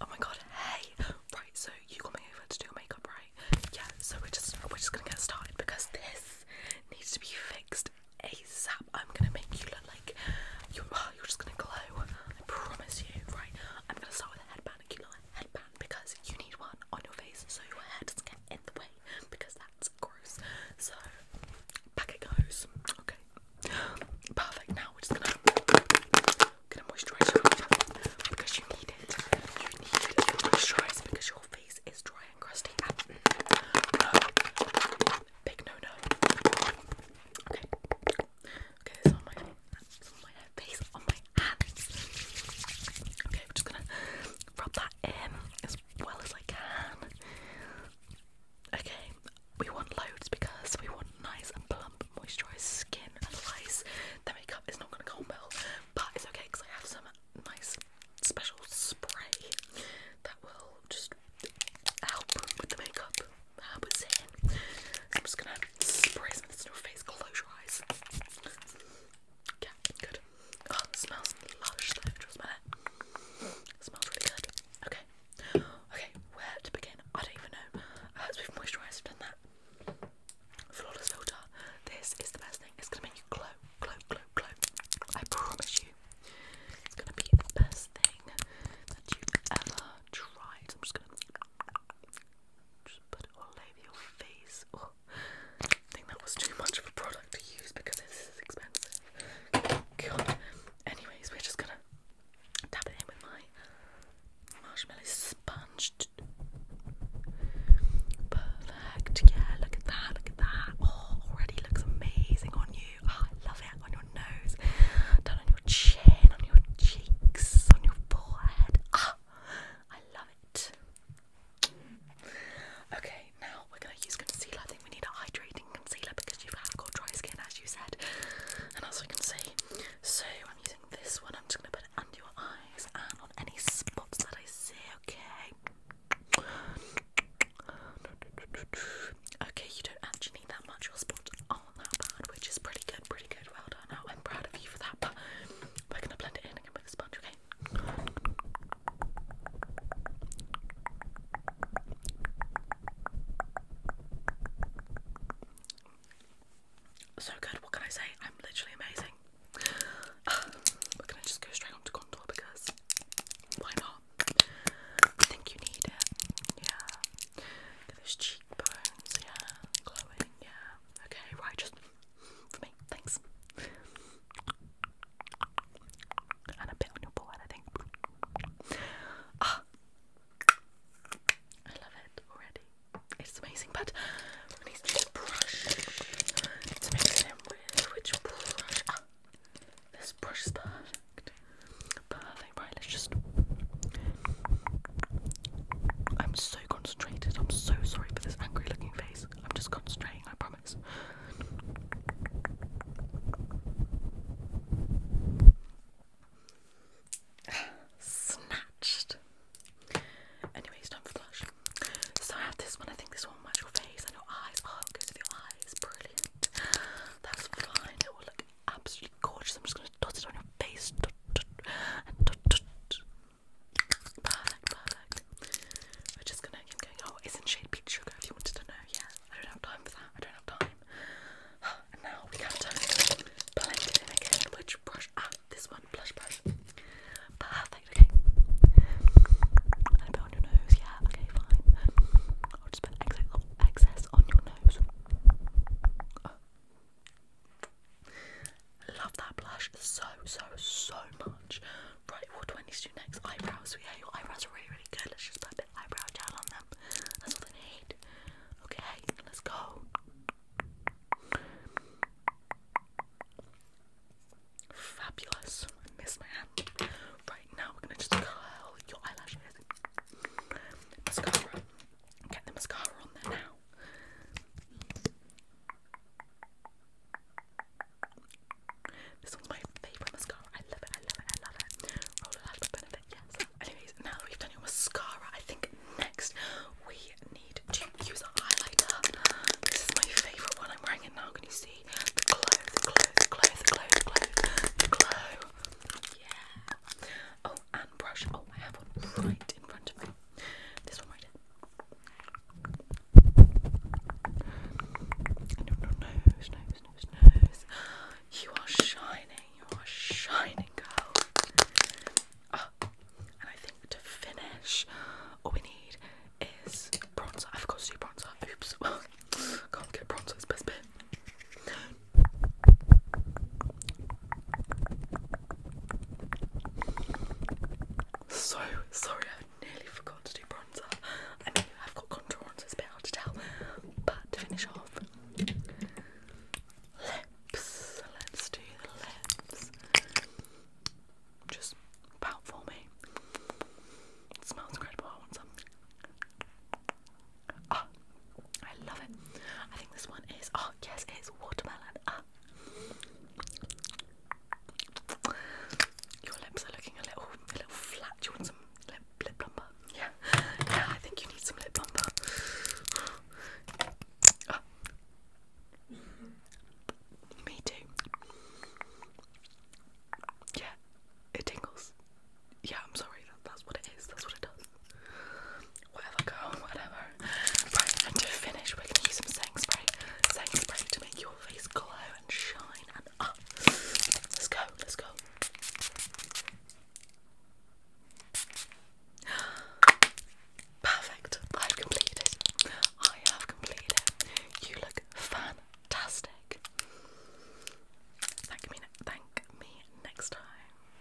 Oh my god, hey! Right, so you got me over to do your makeup, right? Yeah, so we're just we're just gonna get started because this needs to be fixed ASAP. I'm gonna make you look like you're you're just gonna glow. I promise you, right? I'm gonna start with a headband, a headband because you need one on your face so your hair doesn't get in the way because that's gross. So back it goes. Okay okay? Perfect. Now we're just gonna, gonna moisturize because you need it. You need to moisturize because your face is dry and crusty. Mm, big no no. Okay. Okay, this on my face, on my hands. Okay, we're just gonna rub that in as well as I can. Okay, we want loads because we want nice and plump moisturised skin. Otherwise, the makeup is not going to go well. But it's okay because I have some nice special spray that will just help with the makeup. How it's in. I'm just going to spray some in your face. Close your eyes. Yeah, good. Oh, smells lush smells really good. Okay. Okay, where to begin? I don't even know. Uh, we've moisturised, we've done that. Flawless filter. This is the best thing. It's gonna make you glow, glow, glow, glow. I promise you. It's gonna be the best thing that you've ever tried. I'm just gonna put it all over your face. I oh, think that was too much of a product to use because this is expensive. God. Anyways, we're just gonna Dab it in with my marshmallow sponge. Perfect. Yeah, look at that. Look at that. Oh, already looks amazing on you. Oh, I love it. On your nose, down on your chin, on your cheeks, on your forehead. Ah, I love it. Okay, now we're gonna use concealer. I think we need a hydrating concealer because you've got dry skin, as you said, and as I can see. So I'm using this one. I'm just gonna put it under your eyes and on any spots that I see. Okay. Okay, you don't actually need that much. Your spots aren't that bad, which is pretty good. Pretty good. Well done. I'm proud of you for that. But we're gonna blend it in again with a sponge. Okay. So good, what can I say? I'm literally amazing. We're gonna just go straight on contour because why not? I think you need it. Yeah. those cheekbones, yeah. Glowing, yeah. Okay, right, just for me. Thanks and a bit on your forehead, I think. Ah. I love it already. It's amazing, but I need to brush to mix it in which brush. Ah. this brush is perfect. Perfect. Right, let's just. I'm so concentrated. I'm so sorry for this angry-looking face. I'm just concentrating. I promise. Snatched. Anyway, time for blush. So I have this one. I think this one will your face and your eyes. Oh, it your eyes. Brilliant. That's fine. It will look absolutely gorgeous. I'm just going to dot it on your face. We're just gonna Oh, isn't shade peach sugar if you wanted to know? Yeah, I don't have time for that. I don't have time. now we have to blend it in again. Which brush? Ah, this one, blush brush. Perfect, okay. And bit on your nose, yeah, okay, fine. I'll just put excess, on your nose. Love that blush so, so, so much. Right, what do I need to do next? Eyebrows. We Yeah, your eyebrows are really, really good. Let's just put a bit of eyebrow gel on them. That's all they need. Okay, let's go. Fabulous. miss my hand. Right now, we're gonna just curl your eyelashes. Mascara. Get the mascara on there now. This one's my favourite mascara. I love it, I love it, I love it. Roll it out for benefit, yes. Anyways, now that we've done your mascara, I think next we need to use a highlighter. This is my favourite one. I'm wearing it now. Can you see? The glow, the glow, the glow, the glow, the glow, the glow. Yeah. Oh, and brush. Oh, I have one right in front of me. This one right here. You are shining, you are shining, girl. Ah, and I think to finish, all we need is bronzer. I forgot to do bronzer. Oops. Can't get bronzer, it's best so sorry, I nearly forgot to do bronzer. I mean, I've got contour on, so it's a bit hard to tell. But to finish off, lips. Let's do the lips. Just pout for me. It smells incredible. I want some. Ah, I love it. I think this one is. Oh yes, it's watermelon. Ah, your lips are looking a little, a little flat. Do you want some lip, lip plumper? Yeah. Yeah, I think you need some lip balm. Ah. Me too. Yeah, it tingles. Yeah, I'm sorry. that's what it is. That's what it does whatever girl, whatever. and to finish, we're gonna use some setting spray. Setting spray to make your face glow and shine and up. Let's go, let's go. Perfect. I've completed I have completed You look fantastic. Thank me, thank me next time.